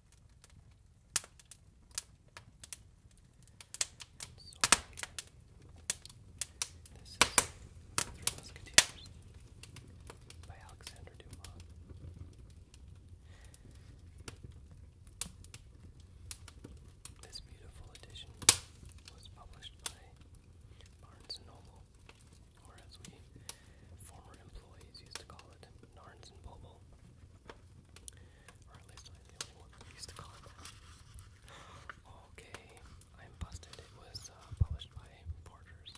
So, this is Three Musketeers by Alexander Dumas. This beautiful edition was published by Barnes & Noble, or as we former employees used to call it, Narns and Boble. I'm Okay, I'm busted. It was uh, published by Porters.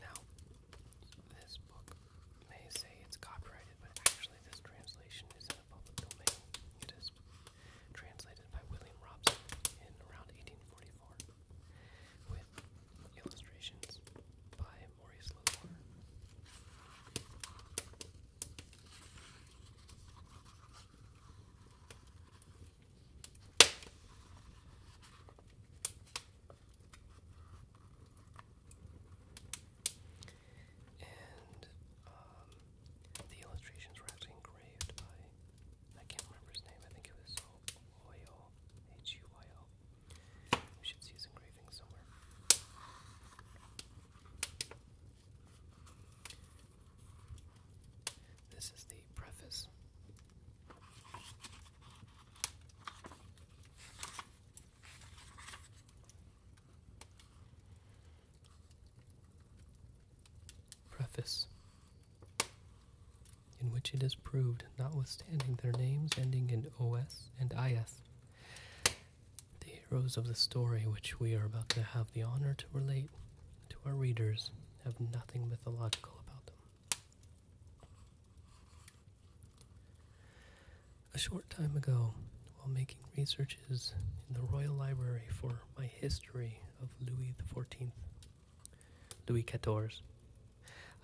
Now, this book may say it's copyrighted, but actually, this translation is in the public domain. It is translated by William Robson in around 1844 with illustrations by Maurice Lenoir. And um, the illustrations were actually engraved by, I can't remember his name, I think it was Hoyle, H-U-Y-L, we should see his engraving somewhere. This is the preface. Preface, in which it is proved, notwithstanding their names ending in OS, and Ayas, the heroes of the story which we are about to have the honor to relate to our readers, have nothing mythological about them. A short time ago, while making researches in the Royal Library for my history of Louis XIV, Louis Quatorze.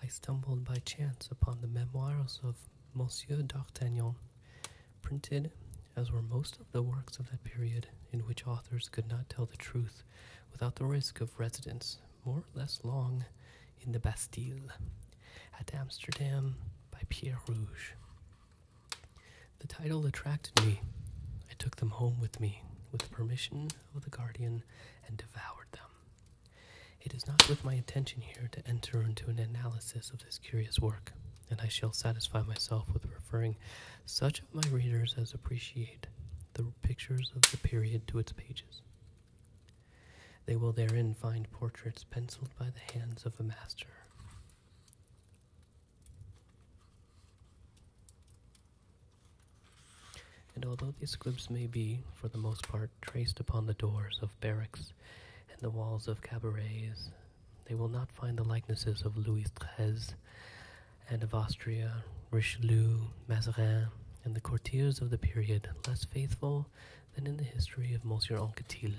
I stumbled by chance upon the memoirs of Monsieur d'Artagnan, printed, as were most of the works of that period, in which authors could not tell the truth without the risk of residence, more or less long, in the Bastille, at Amsterdam by Pierre Rouge. The title attracted me. I took them home with me, with permission of the guardian, and devoured them. It is not with my intention here to enter into an analysis of this curious work, and I shall satisfy myself with referring such of my readers as appreciate the pictures of the period to its pages. They will therein find portraits penciled by the hands of a master and although these squibs may be, for the most part, traced upon the doors of barracks and the walls of cabarets, they will not find the likenesses of Louis XIII and of Austria, Richelieu, Mazarin, and the courtiers of the period less faithful than in the history of Monsieur Anquetil.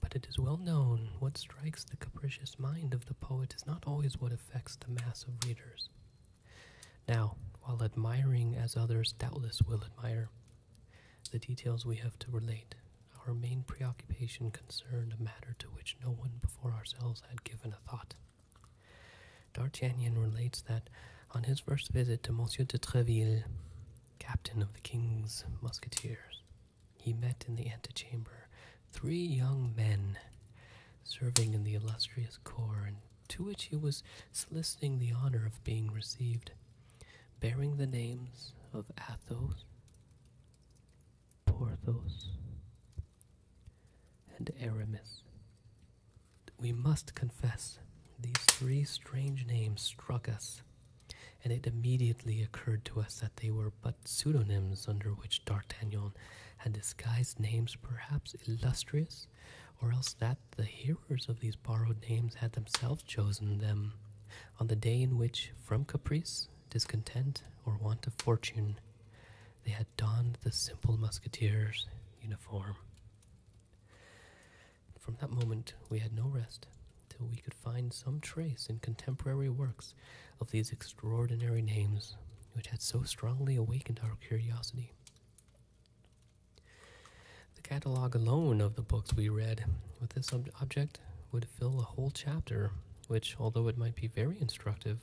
But it is well known what strikes the capricious mind of the poet is not always what affects the mass of readers. Now, while admiring as others doubtless will admire, the details we have to relate, our main preoccupation concerned a matter to which no one before ourselves had given a thought. D'Artagnan relates that on his first visit to Monsieur de Treville, captain of the king's musketeers, he met in the antechamber three young men serving in the illustrious corps, to which he was soliciting the honor of being received, bearing the names of Athos, Porthos, and Aramis. We must confess, these three strange names struck us, and it immediately occurred to us that they were but pseudonyms under which D'Artagnan had disguised names perhaps illustrious, or else that the hearers of these borrowed names had themselves chosen them, on the day in which, from caprice, discontent, or want of fortune, they had donned the simple musketeer's uniform. From that moment we had no rest till we could find some trace in contemporary works of these extraordinary names which had so strongly awakened our curiosity. The catalogue alone of the books we read with this object would fill a whole chapter, which, although it might be very instructive,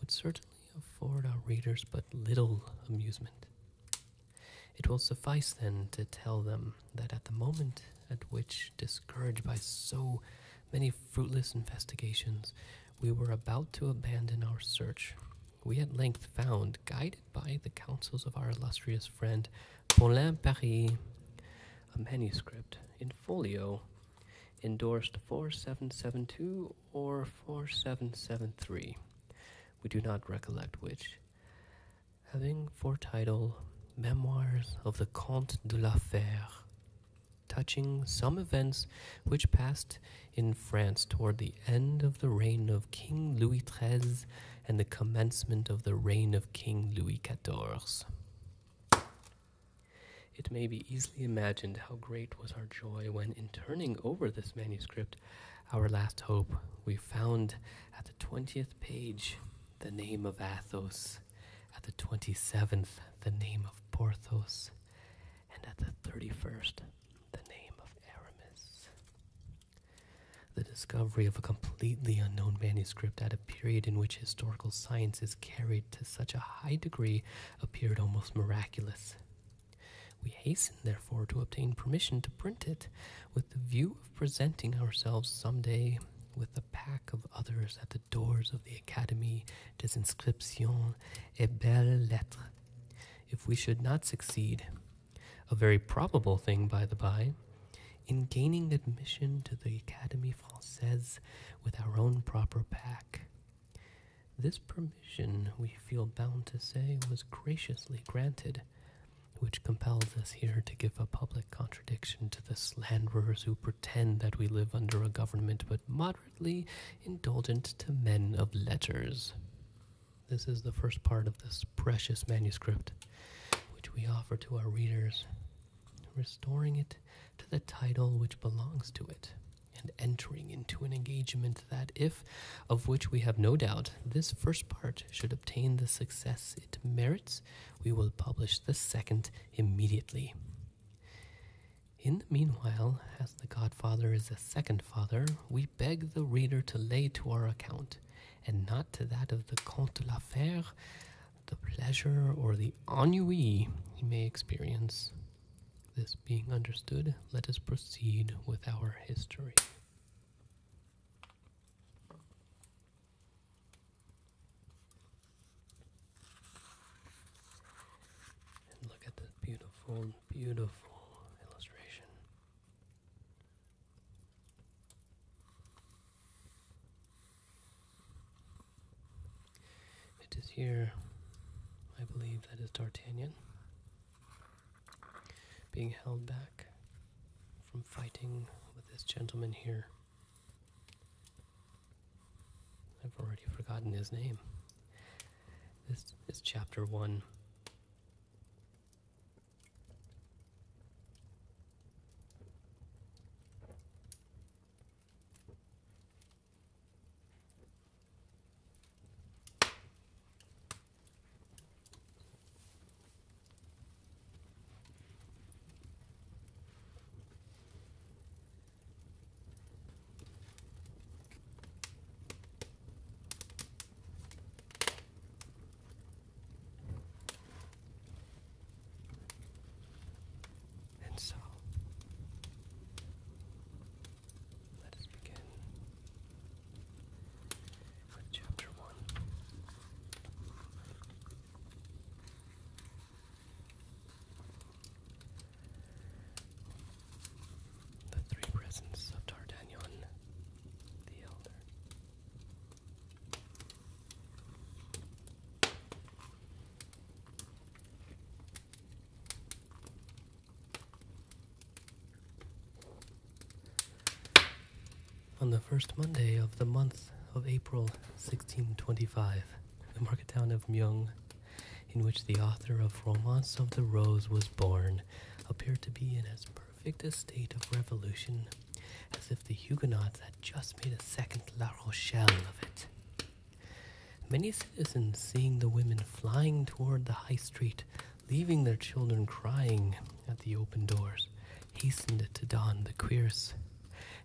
would certainly afford our readers but little amusement. It will suffice then to tell them that at the moment at which, discouraged by so many fruitless investigations, we were about to abandon our search. We at length found, guided by the counsels of our illustrious friend Paulin Paris, a manuscript in folio endorsed 4772 or 4773. We do not recollect which. Having for title Memoirs of the Comte de la Fere, touching some events which passed in France toward the end of the reign of King Louis XIII and the commencement of the reign of King Louis XIV. It may be easily imagined how great was our joy when, in turning over this manuscript, our last hope, we found at the 20th page the name of Athos, at the 27th, the name of Porthos and at the thirty first, the name of Aramis. The discovery of a completely unknown manuscript at a period in which historical science is carried to such a high degree appeared almost miraculous. We hastened, therefore, to obtain permission to print it, with the view of presenting ourselves some day with a pack of others at the doors of the Académie des Inscriptions et Belles Lettres. If we should not succeed, a very probable thing, by the by, in gaining admission to the Académie Française with our own proper pack. This permission, we feel bound to say, was graciously granted, which compels us here to give a public contradiction to the slanderers who pretend that we live under a government but moderate indulgent to men of letters. This is the first part of this precious manuscript, which we offer to our readers, restoring it to the title which belongs to it, and entering into an engagement that, if of which we have no doubt, this first part should obtain the success it merits, we will publish the second immediately. In the meanwhile, as the Godfather is a second father, we beg the reader to lay to our account, and not to that of the Comte de la Fère, the pleasure or the ennui he may experience. This being understood, let us proceed with our history look at this beautiful, beautiful illustration. It is here, I believe that is D'Artagnan being held back from fighting with this gentleman here. I've already forgotten his name. This is chapter one. And so let us begin with chapter one. The three presents of D'Artagnan the Elder. On the first Monday of the month of April 1625, the market town of Myung, in which the author of Romance of the Rose was born, appeared to be in as perfect a state of revolution as if the Huguenots had just made a second La Rochelle of it. Many citizens, seeing the women flying toward the high street, leaving their children crying at the open doors, hastened to don the cuirass,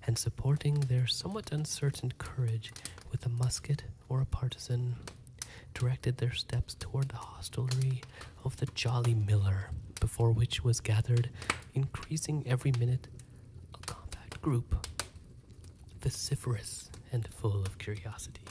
and supporting their somewhat uncertain courage with a musket or a partisan directed their steps toward the hostelry of the Jolly Miller, before which was gathered, increasing every minute, a compact group, vociferous and full of curiosity.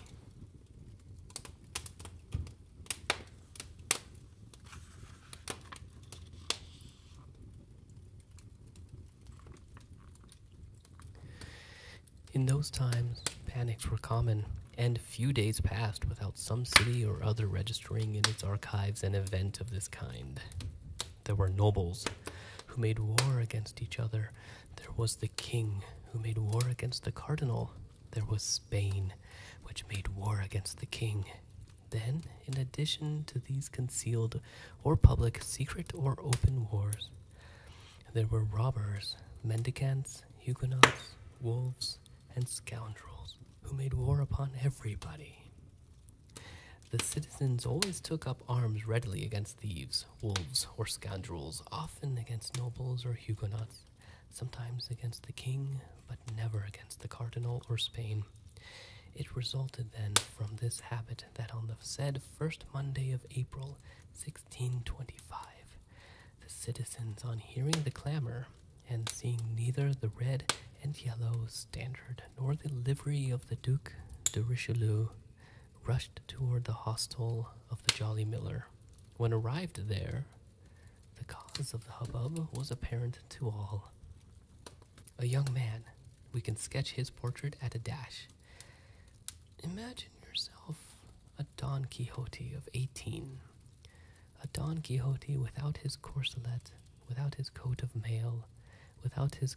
In those times, panics were common, and few days passed without some city or other registering in its archives an event of this kind. There were nobles who made war against each other, there was the king who made war against the cardinal, there was Spain, which made war against the king. Then, in addition to these concealed or public, secret or open wars, there were robbers, mendicants, Huguenots, wolves, and scoundrels who made war upon everybody. The citizens always took up arms readily against thieves, wolves, or scoundrels, often against nobles or Huguenots, sometimes against the king, but never against the cardinal or Spain. It resulted then from this habit that on the said first Monday of April, 1625, the citizens, on hearing the clamor and seeing neither the red and yellow standard nor the livery of the Duke de Richelieu, rushed toward the hostel of the Jolly Miller. When arrived there, the cause of the hubbub was apparent to all. A young man, we can sketch his portrait at a dash, Imagine yourself a Don Quixote of 18, a Don Quixote without his corselet, without his coat of mail, without his